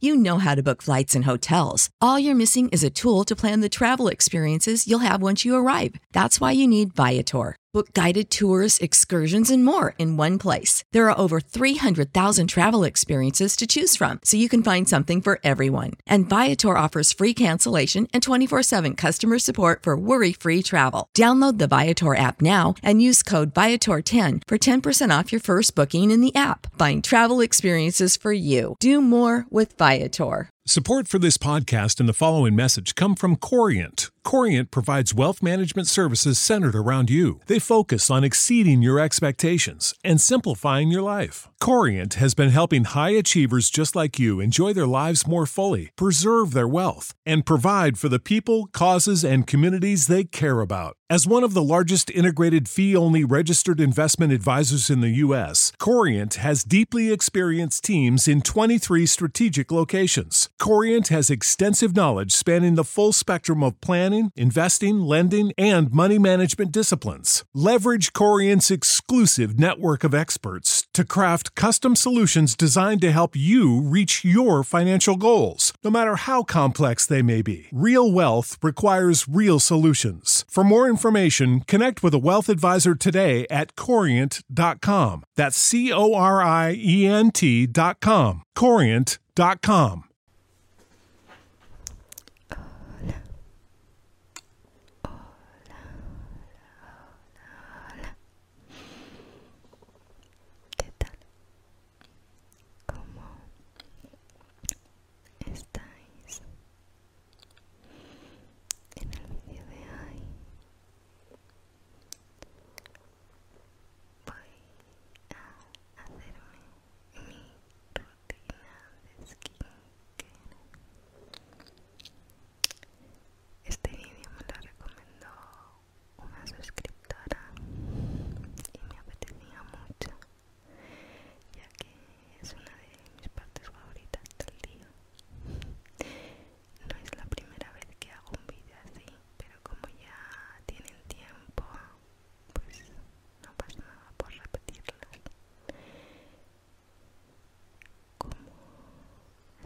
You know how to book flights and hotels. All you're missing is a tool to plan the travel experiences you'll have once you arrive. That's why you need Viator. Book guided tours, excursions, and more in one place. There are over 300,000 travel experiences to choose from, so you can find something for everyone. And Viator offers free cancellation and 24 7 customer support for worry free travel. Download the Viator app now and use code Viator10 for 10% off your first booking in the app. Find travel experiences for you. Do more with Viator. Support for this podcast and the following message come from Corient. Corient provides wealth management services centered around you. They focus on exceeding your expectations and simplifying your life. Corient has been helping high achievers just like you enjoy their lives more fully, preserve their wealth, and provide for the people, causes, and communities they care about. As one of the largest integrated fee only registered investment advisors in the U.S., Corient has deeply experienced teams in 23 strategic locations. Corient has extensive knowledge spanning the full spectrum of planning, investing, lending, and money management disciplines. Leverage Corient's exclusive network of experts to craft custom solutions designed to help you reach your financial goals, no matter how complex they may be. Real wealth requires real solutions. For more information, connect with a wealth advisor today at corient.com. That's C O R I E N T.com. Corient.com. ¿Qué tal? como estáis? En el vídeo de hoy voy a hacerme mi rutina de skincare. Este vídeo me lo recomendó una suscriptora y me apetecía mucho ya que es una de mis partes favoritas del día. No es la primera vez que hago un vídeo así, pero como ya tienen tiempo, pues no pasa nada por repetirlas. Como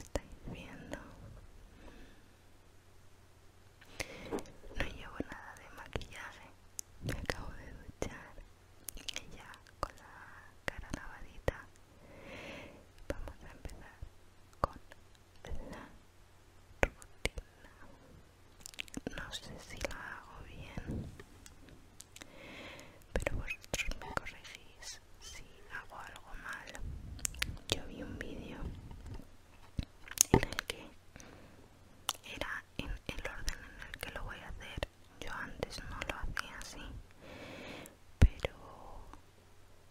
estáis viendo, no llevo nada de maquillaje, me acabo de duchar y ya con la cara lavadita vamos a empezar con la rutina. No sé si la hago bien, pero vosotros me corregís si hago algo mal. Yo vi un vídeo en el que era en el orden en el que lo voy a hacer yo antes no lo hacía así pero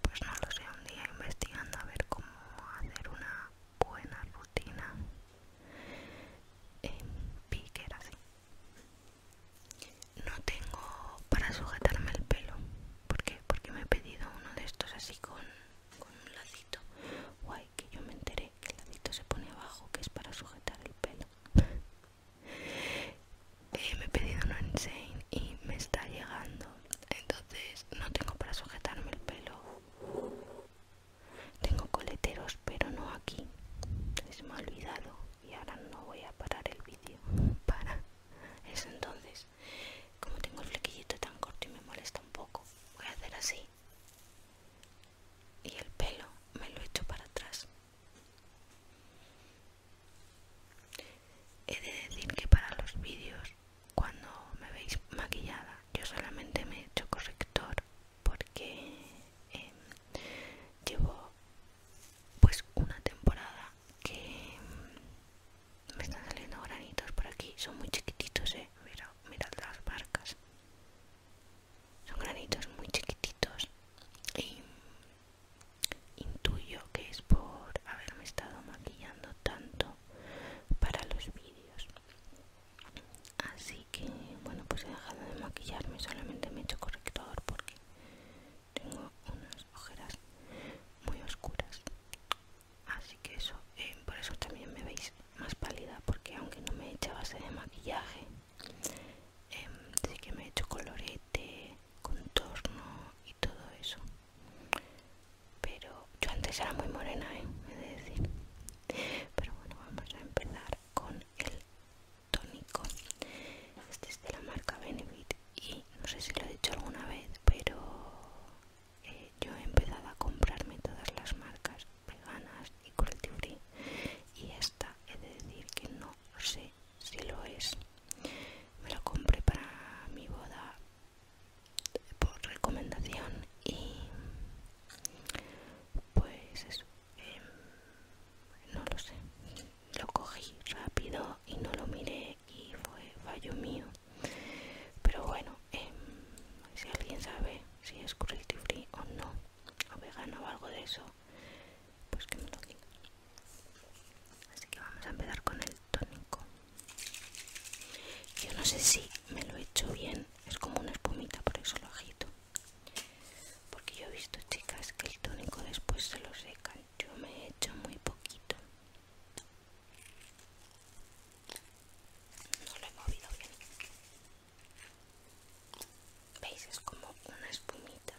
pues no lo sé un día investigando a ver cómo hacer una buena rutina en pique era así no tengo para sujetarme el pelo porque porque me he pedido uno de estos así con con un lacito guay que yo me enteré que el lacito se pone abajo que es para sujetar el pelo eh, me he pedido uno insane y me está llegando entonces no tengo para sujetarme el pelo tengo coleteros pero no aquí se me ha olvidado y ahora no voy a parar el vídeo para eso entonces como tengo el flequillito tan corto y me molesta un poco voy a hacer así y el pelo me lo echo para atrás. He de decir que para los vídeos, cuando me veis maquillada, yo solamente me he hecho corrector porque em, llevo pues una temporada que em, me están saliendo granitos por aquí, son muy chiquititos, eh. Mira, mirad las barcas, Son granitos muy chiquititos y intuyo que es por haberme estado maquillando tanto para los vídeos. Así que, bueno, pues he dejado de maquillarme, solamente me he hecho corrector porque tengo unas ojeras muy oscuras así que eso eh, por eso también me veis más pálida porque aunque no me he hecho base de maquillaje así em, que me he hecho colorete contorno y todo eso pero yo antes era muy morena ¿eh? he de decir pero bueno vamos a empezar con el tónico este es de la marca Benefit y no sé si lo he dicho alguna vez pero eh, yo he empezado a comprarme todas las marcas veganas y cruelty free y esta he de decir que no sé si lo es me lo compré para mi boda por recomendación y pues eso em, no lo sé lo cogí rápido y no lo miré y fue fallo mío pero bueno em, si alguien sabe si es cruelty free o no o vegano o algo de eso pues que me lo digan así que vamos a empezar con el tónico yo no sé si me lo he hecho bien es como una espumita por eso lo agito porque yo he visto chicas que el tónico después se lo seca. yo me he hecho muy poquito no lo he movido bien veis es como una espumita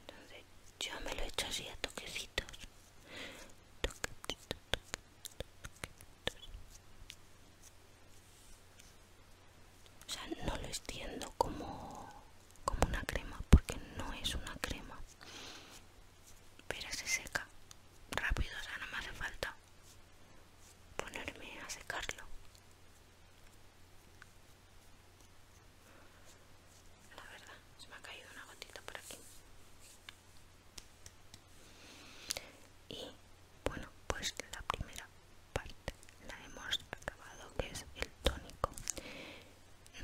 entonces yo me lo he hecho así a toquecitos toquecitos, toquecitos. o sea no lo extiendo como como una crema porque no es una crema pero se seca. Rápido, o sea, no me hace falta ponerme a secarlo. La verdad, se me ha caído una gotita por aquí. Y bueno, pues la primera parte la hemos acabado, que es el tónico.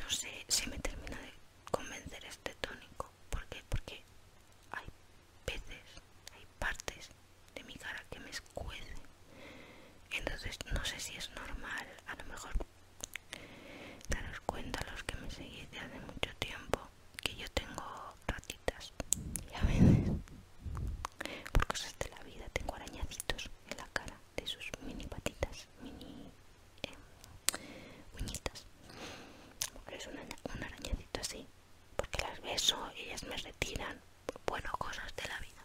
No sé si me termina de convencer de este tónico. ¿Por qué? Porque hay veces, hay partes de mi cara que me escuecen. Entonces no sé si es normal, a lo mejor daros cuenta los que me seguís desde hace mucho tiempo que yo tengo ratitas y a veces por cosas de la vida tengo arañacitos en la cara de sus mini patitas, mini eh, uñitas es un arañecito así porque las beso y ellas me retiran bueno cosas de la vida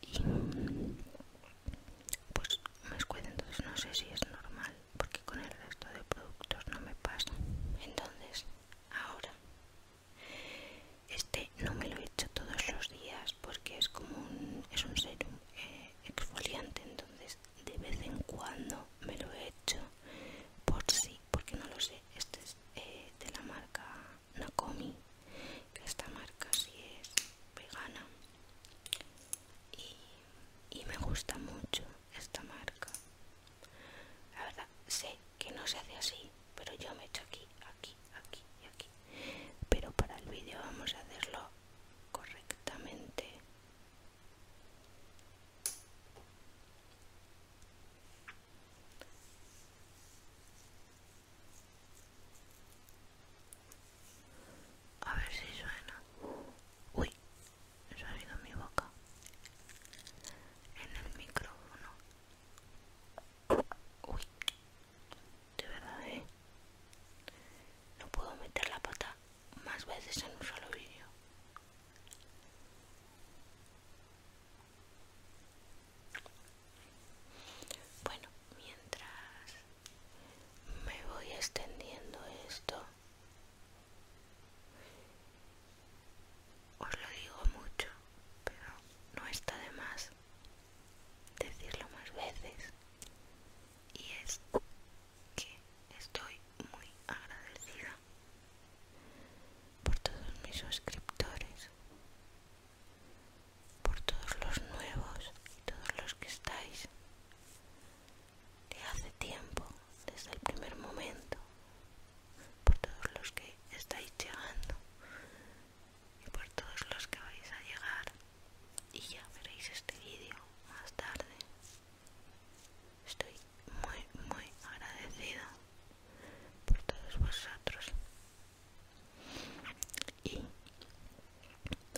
y pues me escuela entonces no sé si es normal porque con el resto de productos no me pasa entonces ahora este no me lo he hecho todos los días porque es como un es un serum eh, exfoliante entonces de vez en cuando me lo he hecho por sí porque no lo sé este es eh, de la marca Nakomi que esta marca si es vegana y, y me gusta mucho esta marca la verdad sé que no se hace así pero yo me he echo aquí aquí aquí y aquí pero para el vídeo vamos a hacerlo correctamente a ver si suena. Uy, me ha salido mi boca. En el micrófono. Uy, de verdad, eh. No puedo meter la pata más veces en un solo vídeo. Bueno, mientras me voy extendiendo esto, os lo digo mucho, pero no está de más decirlo más veces y es que estoy muy agradecida por todos mis suscriptores, por todos los nuevos y todos los que estáis de hace tiempo, desde el primer momento, por todos los que estáis llegando y por todos los que vais a llegar y ya veréis este vídeo más tarde estoy muy muy agradecida por todos vosotros y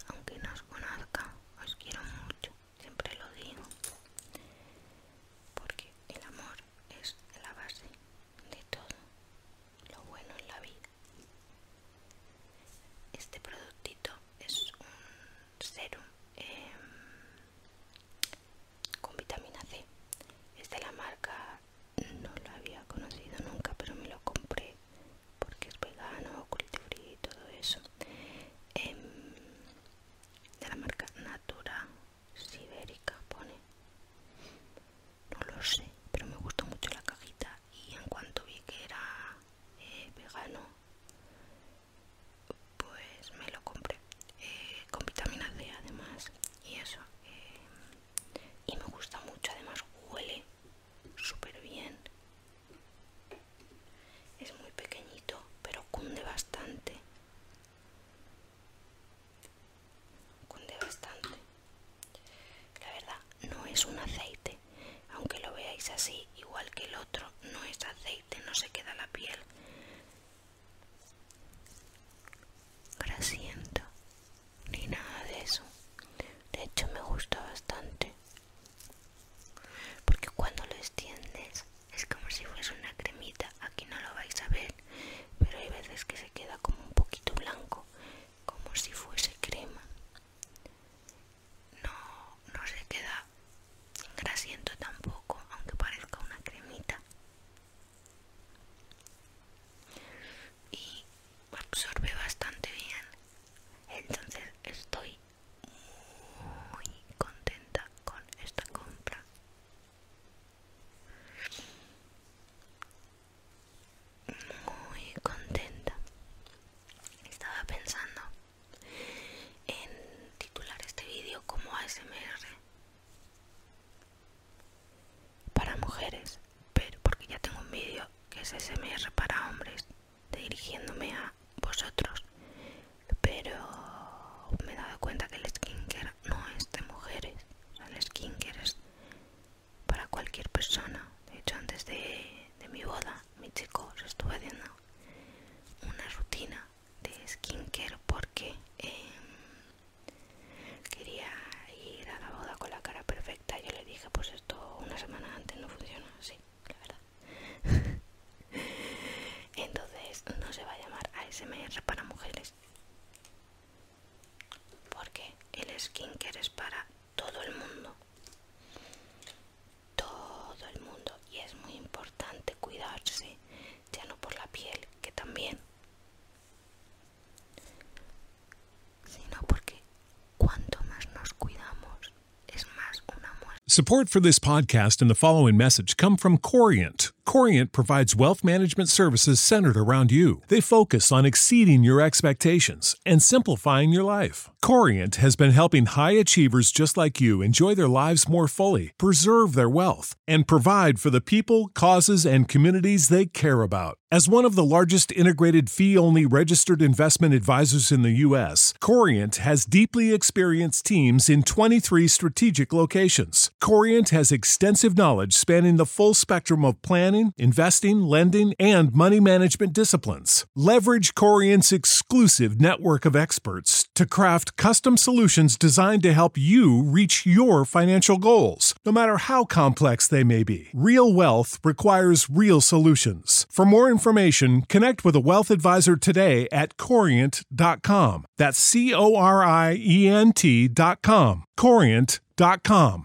aunque no os conozca os quiero mucho siempre lo digo porque el amor es la base de todo lo bueno en la vida este productito es un serum em, con vitamina C. Es de la marca, no lo había conocido nunca, pero me lo compré porque es vegano, cultivo y todo eso. Em, de la marca Natura Sibérica, pone. No lo sé, pero me gustó mucho la cajita y en cuanto vi que era eh, vegano pues me lo compré eh, con vitamina D además y eso eh, y me gusta mucho además huele súper bien es muy pequeñito pero cunde bastante cunde bastante la verdad no es un aceite aunque lo veáis así, igual que el otro, no es aceite, no se queda la piel. grasienta, ni nada de eso. De hecho, me gusta bastante. Porque cuando lo extiendes es como si fuese una cremita. Aquí no lo vais a ver, pero hay veces que se queda como un poquito blanco, como si fuese crema no, no se queda grasiento tampoco, aunque parezca una cremita. Y absorbe bastante bien. Entonces estoy muy contenta con esta compra. Muy contenta. Estaba pensando en titular este vídeo como ASMR para mujeres, pero porque ya tengo un vídeo que es ASMR para hombres dirigiéndome a vosotros, pero me he dado cuenta que el skincare no es de mujeres, el skin el es para cualquier persona. De hecho, antes de de mi boda, mi chico se estuvo haciendo una rutina de skincare porque em, quería ir a la boda con la cara perfecta. Yo le dije, pues esto una semana antes no funciona, sí, la verdad. Entonces no se va a llamar ASMR para mujeres. Porque el skincare es para todo el mundo. es muy importante cuidarse ya no por la piel que también sino porque cuanto más nos cuidamos es más una muerte. Support for this podcast and the following message come from Corient. Corient provides wealth management services centered around you. They focus on exceeding your expectations and simplifying your life. Corient has been helping high achievers just like you enjoy their lives more fully, preserve their wealth, and provide for the people, causes, and communities they care about. As one of the largest integrated fee only registered investment advisors in the U.S., Corient has deeply experienced teams in 23 strategic locations. Corient has extensive knowledge spanning the full spectrum of planning, investing, lending, and money management disciplines. Leverage Corient's exclusive network of experts to craft custom solutions designed to help you reach your financial goals, no matter how complex they may be. Real wealth requires real solutions. For more information, connect with a wealth advisor today at corient.com. That's C O R I E N T.com. Corient.com.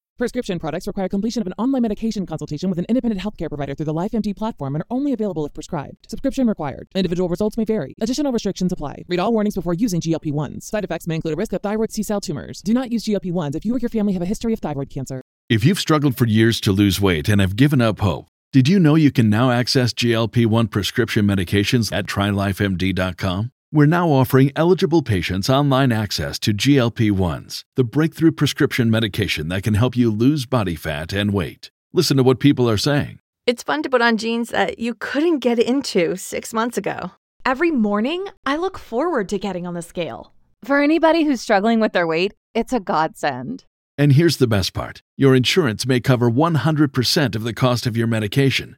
Prescription products require completion of an online medication consultation with an independent healthcare provider through the LifeMD platform and are only available if prescribed. Subscription required. Individual results may vary. Additional restrictions apply. Read all warnings before using GLP-1s. Side effects may include a risk of thyroid C-cell tumors. Do not use GLP-1s if you or your family have a history of thyroid cancer. If you've struggled for years to lose weight and have given up hope, did you know you can now access GLP-1 prescription medications at trylifemd.com? We're now offering eligible patients online access to GLP 1s, the breakthrough prescription medication that can help you lose body fat and weight. Listen to what people are saying. It's fun to put on jeans that you couldn't get into six months ago. Every morning, I look forward to getting on the scale. For anybody who's struggling with their weight, it's a godsend. And here's the best part your insurance may cover 100% of the cost of your medication.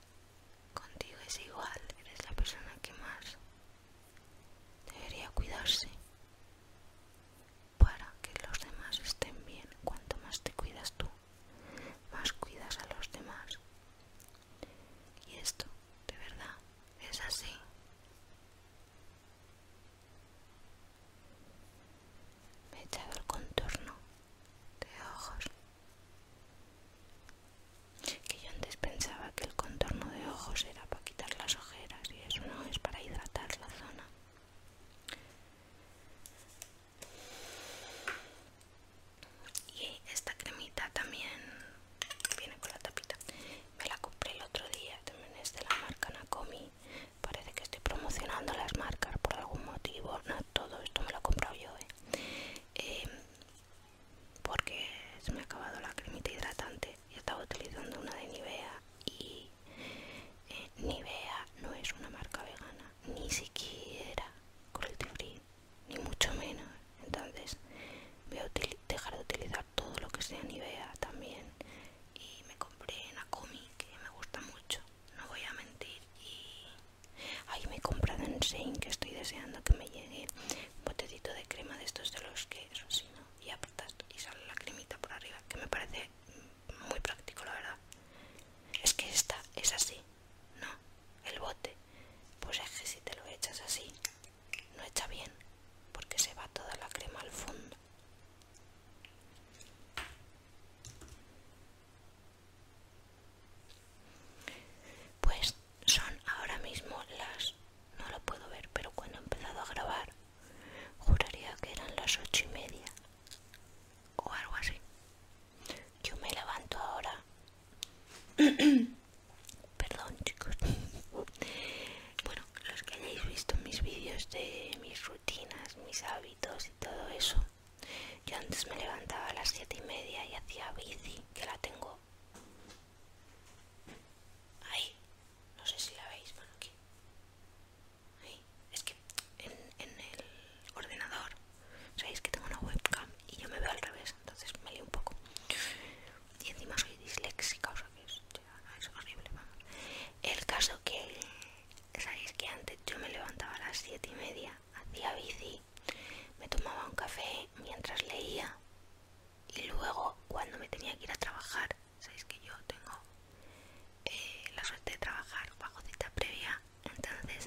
Contigo es igual, eres la persona que más debería cuidarse para que los demás estén bien. Cuanto más te cuidas tú, más cuidas a los demás. Y esto, de verdad, es así. Me he echado el contorno de ojos que yo antes pensaba que el contorno de ojos era para quitar las ojeras y eso no es para hidratar la zona y esta cremita también viene con la tapita me la compré el otro día también es de la marca Nakomi parece que estoy promocionando las marcas por algún motivo no todo esto me lo he comprado yo ¿eh? Em, porque se me ha acabado la cremita hidratante y estaba utilizando una de Nivea y eh, Nivea no es una marca vegana ni siquiera cruelty free ni mucho menos entonces voy a dejar de utilizar todo lo que sea Nivea también y me compré Nakomi que me gusta mucho no voy a mentir Ahí me he comprado en Sein que estoy deseando que me llegue un botecito de crema de estos de los que eso ¿no? Y apretas y sale la cremita por arriba, que me parece muy práctico, la verdad. Es que esta es así, ¿no? El bote, pues es que si te lo echas así, no echa bien, porque se va toda la crema al fondo. Pues son ahora mismo las... No lo puedo ver, pero cuando he empezado a grabar, juraría que eran las ocho y media o algo así. Yo me levanto ahora. Perdón, chicos. bueno, los que hayáis visto mis vídeos de mis rutinas, mis hábitos y todo eso, yo antes me levantaba a las 7 y media y hacía bici, que la tengo ahí. No sé si la veis, bueno, aquí. Es que en, el ordenador, sabéis que tengo una webcam y yo me veo al revés, entonces me lío un poco. Y encima soy disléxica, o sea que es, horrible, El caso que, sabéis que antes yo me levantaba a las 7 y media, hacía bici me tomaba un café mientras leía y luego cuando me tenía que ir a trabajar, sabéis que yo tengo eh, la suerte de trabajar bajo cita previa, entonces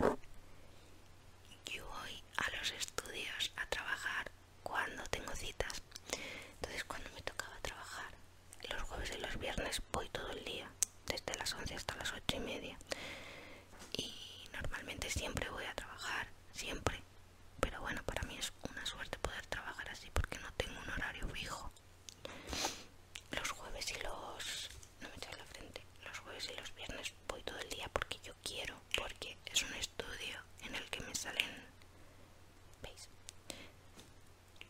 yo voy a los estudios a trabajar cuando tengo citas. Entonces cuando me tocaba trabajar, los jueves y los viernes voy todo el día, desde las 11 hasta las 8 y media y normalmente siempre voy a trabajar, siempre. Pero bueno, para mí es una suerte poder trabajar así porque no tengo un horario fijo. Los jueves y los... no me la frente. Los jueves y los viernes voy todo el día porque yo quiero, porque es un estudio en el que me salen... ¿Veis?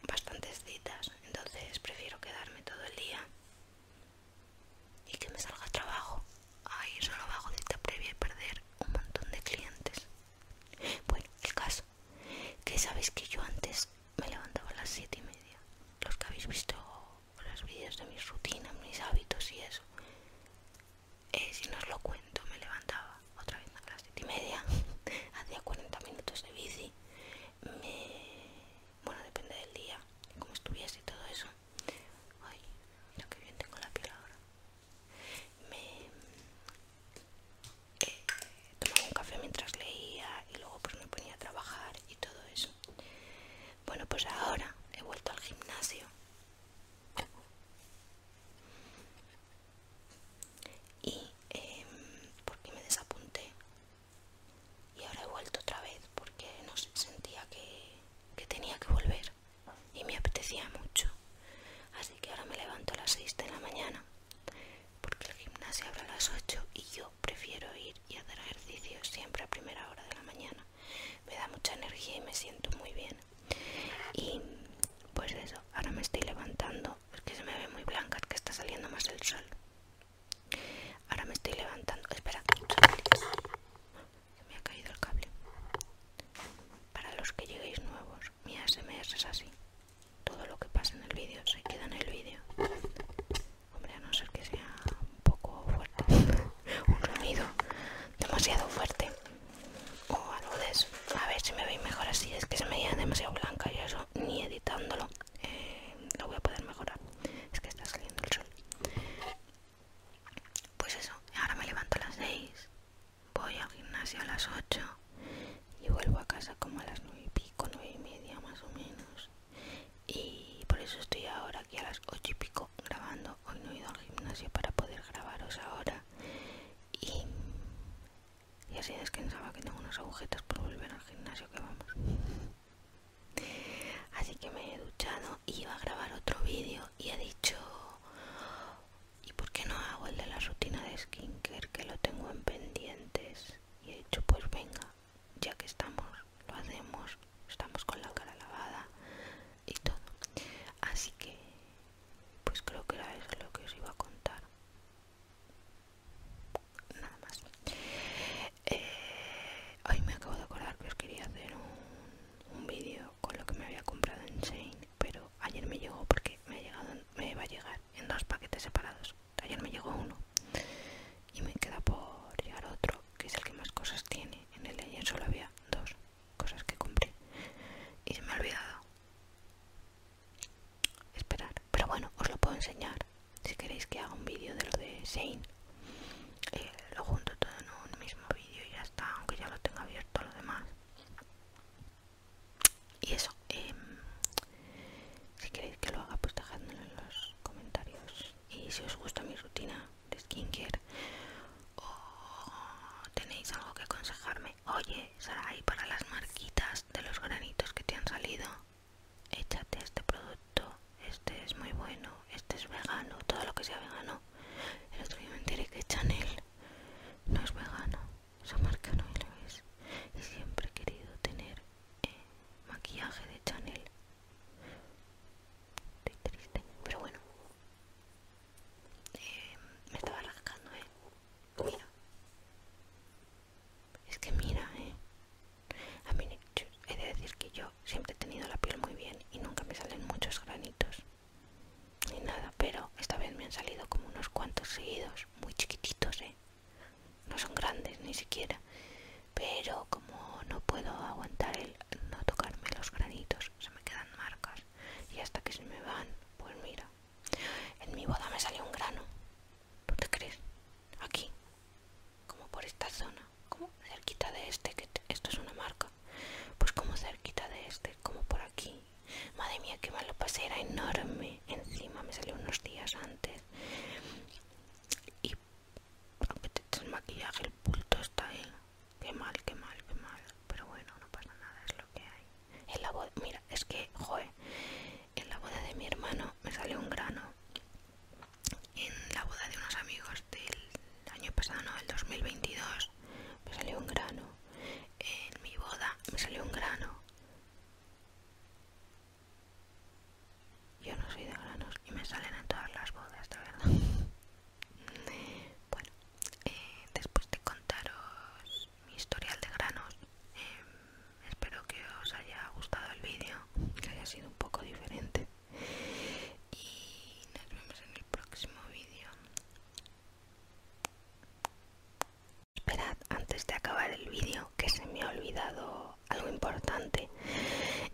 Bastantes citas, entonces prefiero quedarme todo el día y que me salga trabajo. Ay, solo solo hago de previa y perder un montón de clientes. Bueno, el caso, que sabéis que yo antes me levantaba a las siete y media. Los que habéis visto los vídeos de mis rutinas, mis hábitos y eso. Eh, si no os lo cuento, me levantaba otra vez a las 7 y media, hacía 40 minutos de bici, bueno, depende del día, cómo estuviese y todo eso, Ay, mira que bien tengo la piel ahora. Me eh, tomaba un café mientras leía y luego pues me ponía a trabajar y todo eso. Bueno, pues ahora he vuelto al gimnasio. Y eh, porque me desapunté y ahora he vuelto otra vez porque no sentía que, tenía que volver y me apetecía mucho. Así que ahora me levanto a las 6 de la mañana porque el gimnasio abre a las 8 y yo prefiero ir y hacer ejercicio siempre a primera hora de la mañana. Me da mucha energía y me siento muy bien. Y pues eso, ahora me estoy levantando, porque se me ve muy blanca, que está saliendo más el sol. Ahora me estoy levantando. Espera, se me ha caído el cable. Para los que lleguéis nuevos, mi SMS es así. Todo lo que pasa en el vídeo se queda en el vídeo. Hombre, a no ser que sea un poco fuerte, un sonido demasiado fuerte o algo A ver si me veis mejor así, es que se me veía demasiado blanca y eso ni editándolo lo voy a poder mejorar. Es que está saliendo el sol. Pues eso, ahora me levanto a las 6, voy al gimnasio a las 8 y vuelvo a casa como a las 9 y pico, 9 y media más o menos. Y por eso estoy ahora aquí a las 8 y pico grabando. Hoy no he ido al gimnasio para poder grabaros ahora. Y, así descansaba que tengo unos agujetas por volver al gimnasio que vamos. Así que me he duchado, Y iba a grabar otro vídeo y he dicho, ¿y por qué no hago el de la rutina de skincare que lo tengo en pendientes? Y he dicho, pues venga, ya que estamos, lo hacemos, estamos con la cara lavada y todo. Así que, pues creo que era eso lo que os iba a contar nada más hoy eh, me acabo de acordar que os quería hacer un, vídeo con lo que me había comprado en Shane pero ayer me llegó porque me, ha llegado, me va a llegar en dos paquetes separados ayer me llegó uno y me queda por llegar otro que es el que más cosas tiene en el de ayer solo había dos cosas que compré y se me ha olvidado esperar pero bueno os lo puedo enseñar si queréis que haga un vídeo de lo de Shane eh, lo junto todo en un mismo vídeo y ya está aunque ya lo tenga abierto lo demás y eso em, si queréis que lo haga pues dejadmelo en los comentarios y si os gusta mi rutina de skincare o tenéis algo que aconsejarme oye ahí para las marquitas de los granitos que te han salido échate este producto, este es muy bueno, este es vegano, todo lo que sea vegano. El otro día me diré que Chanel no es vegano esa marca no es. Y siempre he querido tener eh, maquillaje de Chanel. triste, pero bueno. Eh, me estaba rascando, eh. Mira. Es que mira, eh. A mí, he de decir que yo siempre he tenido la piel muy bien y nunca me salen muchos granitos. Ni nada, pero esta vez me han salido como unos cuantos seguidos, muy chiquititos, ¿eh? No son grandes ni siquiera, pero como no puedo aguantar el no tocarme los granitos, se me quedan marcas y hasta que se me van, pues mira, en mi boda me salió un grano, ¿tú te crees? Aquí, como por esta zona, como cerquita de este, que esto es una marca, pues como cerquita de este, como por aquí. Madre mía, qué mal lo pasé, era enorme. Encima me salió unos días antes. Y el maquillaje, el pulto está ahí. Qué mal, que mal, qué mal. Pero bueno, no pasa nada, es lo que hay. En la boda, mira, es que, joe, en la boda de mi hermano me salió un grano en la boda de unos amigos del año pasado, no, del 2022, me salió un grano. En mi boda me salió un grano. Yo no soy de granos y me salen en todas las bodas, de verdad. bueno, eh, después de contaros mi historial de granos, em, espero que os haya gustado el vídeo, que haya sido un poco diferente y nos vemos en el próximo vídeo esperad antes de acabar el vídeo que se me ha olvidado algo importante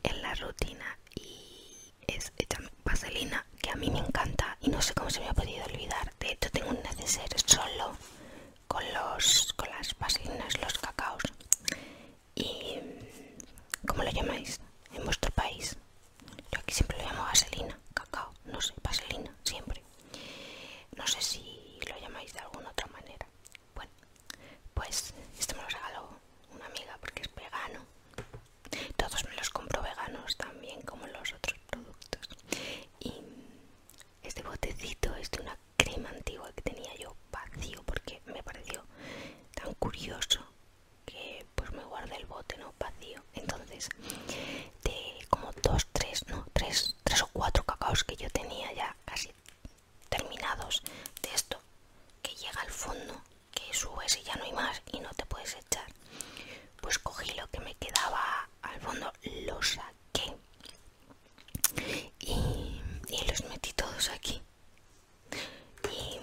en la rutina y es esta vaselina que a mí me encanta y no sé cómo se me ha podido olvidar de hecho tengo un neceser solo con los con las vaselinas los cacaos y ¿cómo lo llamáis en vuestro país? Yo aquí siempre lo llamo vaselina, cacao, no sé, vaselina, siempre. No sé si lo llamáis de alguna otra manera. Bueno, pues esto me lo regaló una amiga porque es vegano. Todos me los compro veganos también como los otros productos. Y este botecito es de una crema antigua que tenía yo vacío porque me pareció tan curioso que pues me guardé el bote no vacío entonces de como dos tres no tres tres o cuatro cacaos que yo tenía ya casi terminados de esto que llega al fondo que subes y ya no hay más y no te puedes echar pues cogí lo que me quedaba al fondo lo saqué y los metí todos aquí y,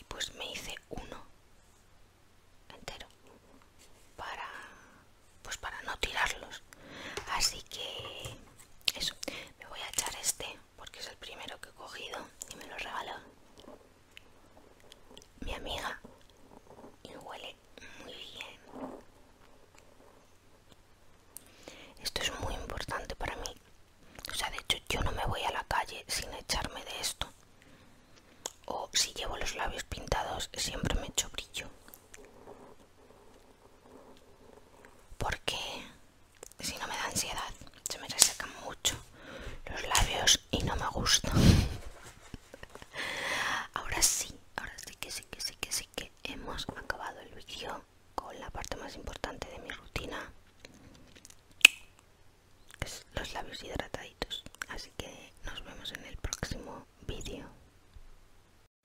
y pues me hice uno entero para pues para no tirarlos así que eso me voy a echar este porque es el primero que he cogido y me lo regaló mi amiga y huele muy bien esto es muy importante para mí. O sea, de hecho yo no me voy a la calle sin echarme de esto. O si llevo los labios pintados siempre me echo brillo. Porque si no me da ansiedad, se me resecan mucho los labios y no me gusta. ahora sí, ahora sí que sí que sí que sí que hemos acabado el vídeo.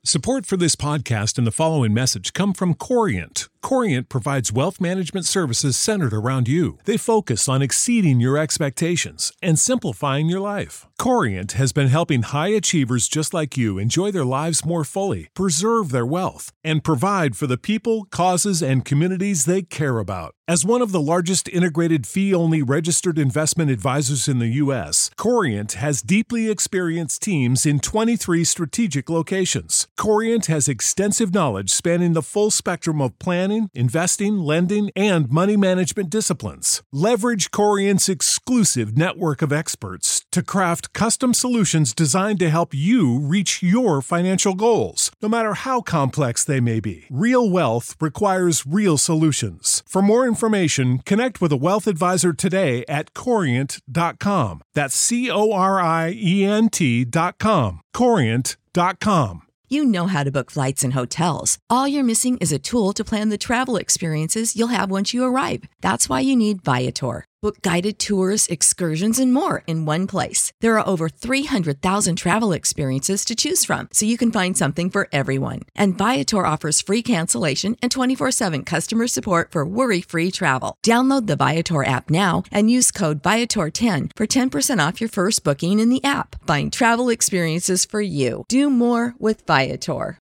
Support for this podcast and the following message come from Corient. Corient provides wealth management services centered around you. They focus on exceeding your expectations and simplifying your life. Corient has been helping high achievers just like you enjoy their lives more fully, preserve their wealth, and provide for the people, causes, and communities they care about. As one of the largest integrated fee only registered investment advisors in the U.S., Corient has deeply experienced teams in 23 strategic locations. Corient has extensive knowledge spanning the full spectrum of planning, investing, lending, and money management disciplines. Leverage Corient's exclusive network of experts to craft custom solutions designed to help you reach your financial goals, no matter how complex they may be. Real wealth requires real solutions. For more information, connect with a wealth advisor today at corient.com. That's C O R I E N T.com. Corient.com. You know how to book flights and hotels. All you're missing is a tool to plan the travel experiences you'll have once you arrive. That's why you need Viator. Book guided tours, excursions, and more in one place. There are over 300,000 travel experiences to choose from, so you can find something for everyone. And Viator offers free cancellation and 24 7 customer support for worry free travel. Download the Viator app now and use code Viator10 for 10% off your first booking in the app. Find travel experiences for you. Do more with Viator.